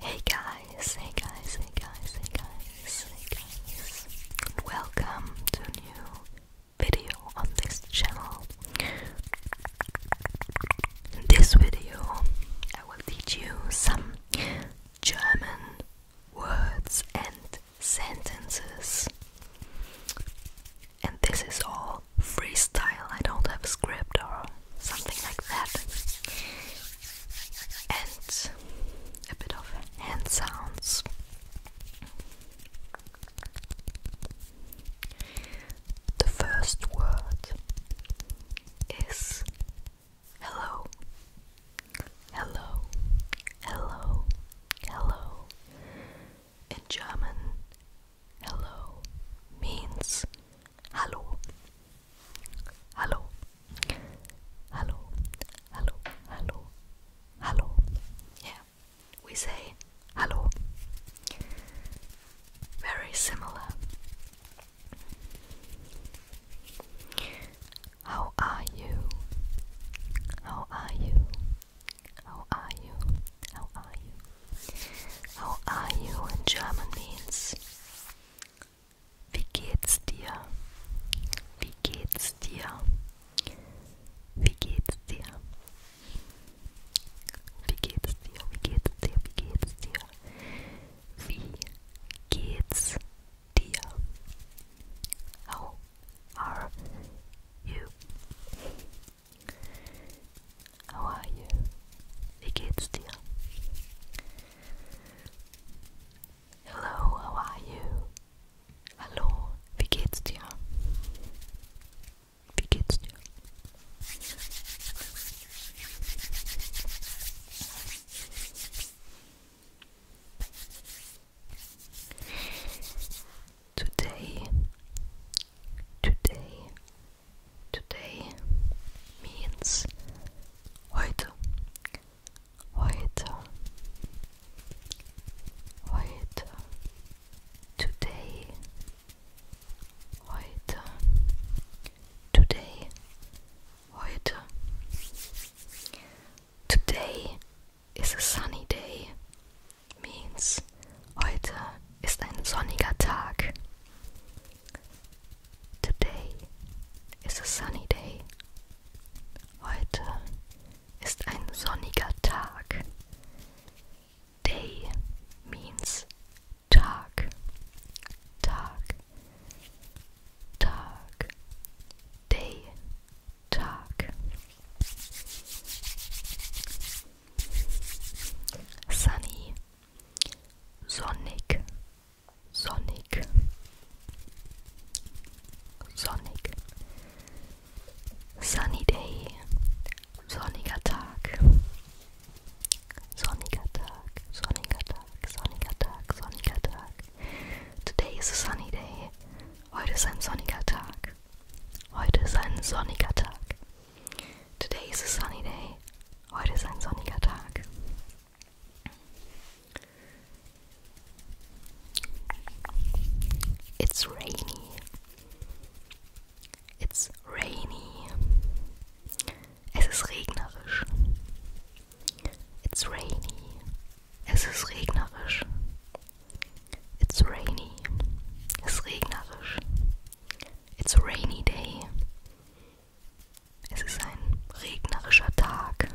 Hey guys, hey guys, hey guys, hey guys, hey guys. Welcome to new video on this channel. In this video, I will teach you some German words and sentences. And this is all freestyle, I don't have a script or something like that, and a bit of hand sounds. The first word is hello, hello, hello, hello. In German, hello means hello. Hello. Hello. Hello. Hello. Hello. Yeah. We say hello. Very similar. How are you? How are you? How are you? How are you? How are you in German means? Wie geht's dir? Wie geht's dir? Wie geht's dir? Wie geht's dir? Wie geht's dir? Wie geht's dir? Wie geht's dir? How are you? How are you? Wie geht's dir? Hello, how are you? Hallo, wie geht's dir? Wie geht's dir? Today, today, Today means heute. Heute. Heute. Today. Heute. Today. Heute. Today is a sunny day. Means heute ist ein sonniger Tag. Today is a sunny day. Heute ist ein sonniger Tag. Day means Tag. Tag. Tag. Day. Tag. Sunny Sonic. Sonic. sonnig. Sunny day, sonniger Tag, sonniger Tag, sonniger Tag, Today is a sunny day. Heute ist ein sonniger Tag. Heute ist ein sonniger Tag. Today is a sunny day. Heute ist ein sonniger Tag. It's rainy. It's rainy. Es ist regnerisch. It's rainy. Es ist regnerisch. It's rainy. Es ist regnerisch. It's a rainy day. Es ist ein regnerischer Tag.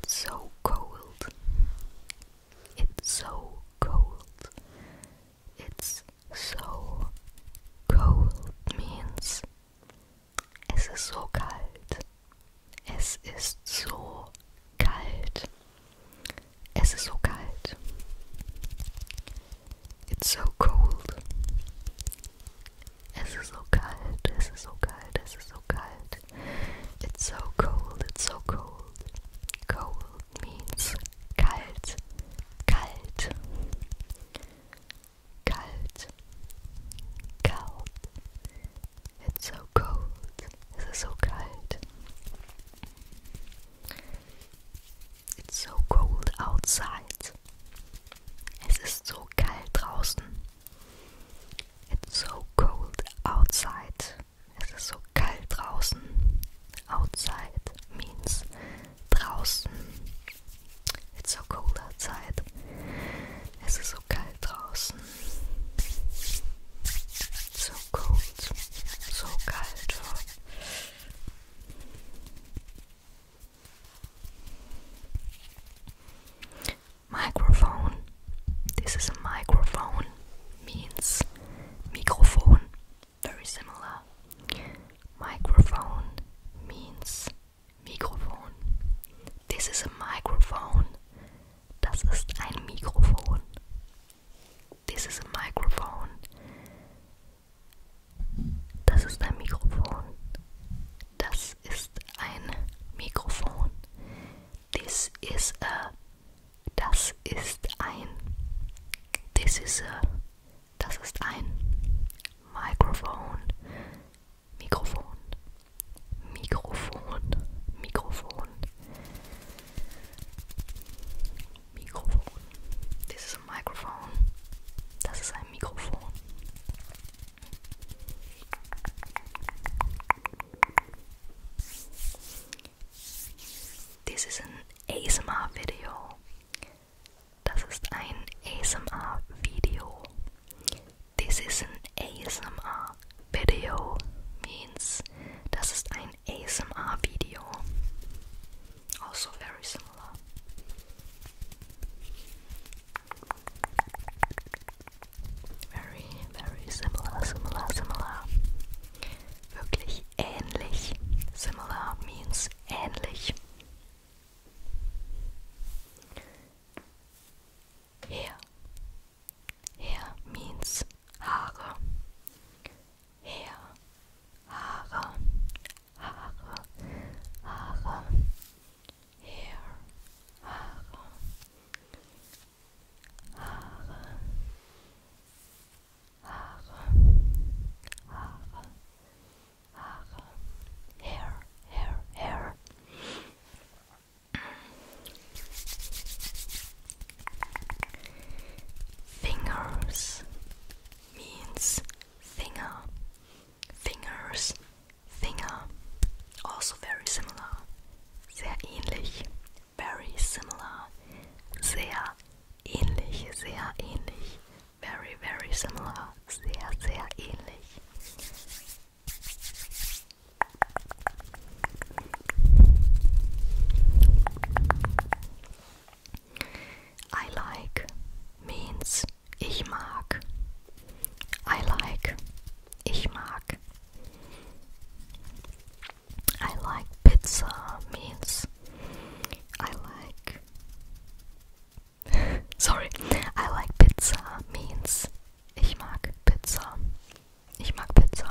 It's so cold. It's so cold it's so cold means es ist so kalt. Es ist so kalt. Es ist so kalt. It's so cold. Es ist so kalt. Es ist so kalt. Es ist so kalt. It's so cold. It's so cold. Cold. means kalt, kalt, kalt, cold. It's so cold. Es ist so kalt. It's so cold outside. Es ist so kalt draußen. It's so cold outside. Es ist so kalt draußen. Outside means It's so cold outside. It's so cold. It's so cold. So kalt. Microphone. This is a microphone. Means Mikrofon very similar. Microphone means Mikrofon. This is a microphone. Das ist ein Mikrofon. This is a microphone. Das ist ein Mikrofon. Das ist ein Mikrofon. This is a. Das ist ein. This is a. Das ist ein Mikrofon. Mikrofon. Mikrofon. Mikrofon. Mikrofon. Das ist ein Mikrofon. Das ist ein Mikrofon. This is an ASMR-Video. This is an ASMR-Video. This is an ASMR video means das ist ein ASMR video. Also very similar. Very, very similar, similar, similar. wirklich ähnlich. Similar means ähnlich. Hair. Hair means Haare. Hair. Haare. Haare. Haare. Hair. Haare. Haare. hair, hair, hair. Fingers means finger, fingers, finger, also very similar, sehr ähnlich, very similar, sehr ähnlich, sehr ähnlich, very, very similar, sehr, sehr ähnlich. I like means ich mag. I like ich mag. I like pizza means I like sorry I like pizza means ich mag pizza ich mag pizza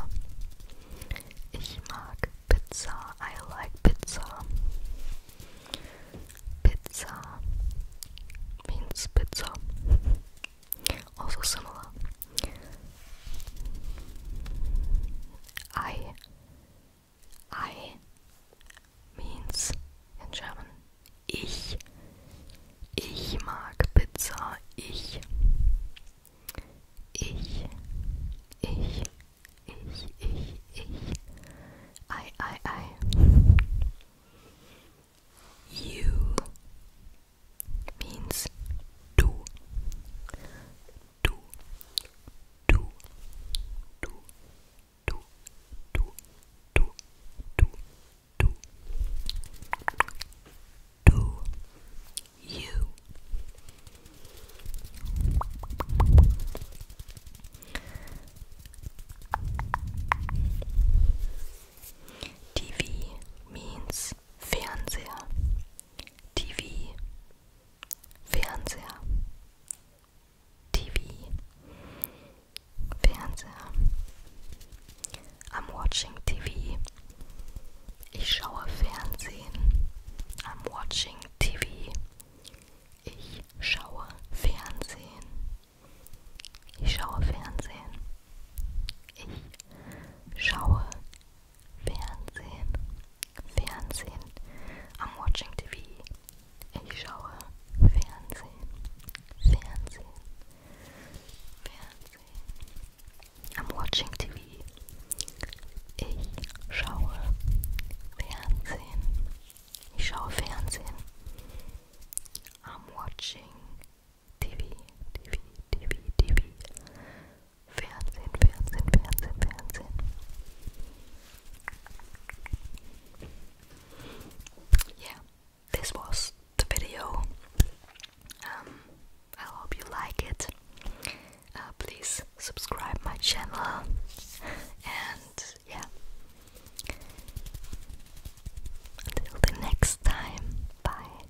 ich mag pizza I like pizza pizza means pizza also similar I. I means in German ich. Ich mag Pizza. Ich. Ich. Ich. Ich. Ich. Ich. I. I. I. You means du. two, two, two, two, two, two, two, two, two, you. TV means Fernseher. TV, Fernseher, TV, Fernseher. I'm watching TV. Ich schaue Fernsehen. I'm watching TV. Ich schaue Fernsehen. Ich schaue Fernsehen. Ich schaue Fernsehen, Fernsehen. I'm watching TV. I'm watching TV. Ich schaue Fernsehen. Ich schaue Fernsehen. I'm watching TV. Yeah, this was the video. Um, I hope you like it. Uh, please subscribe my channel and yeah. Until the next time, bye.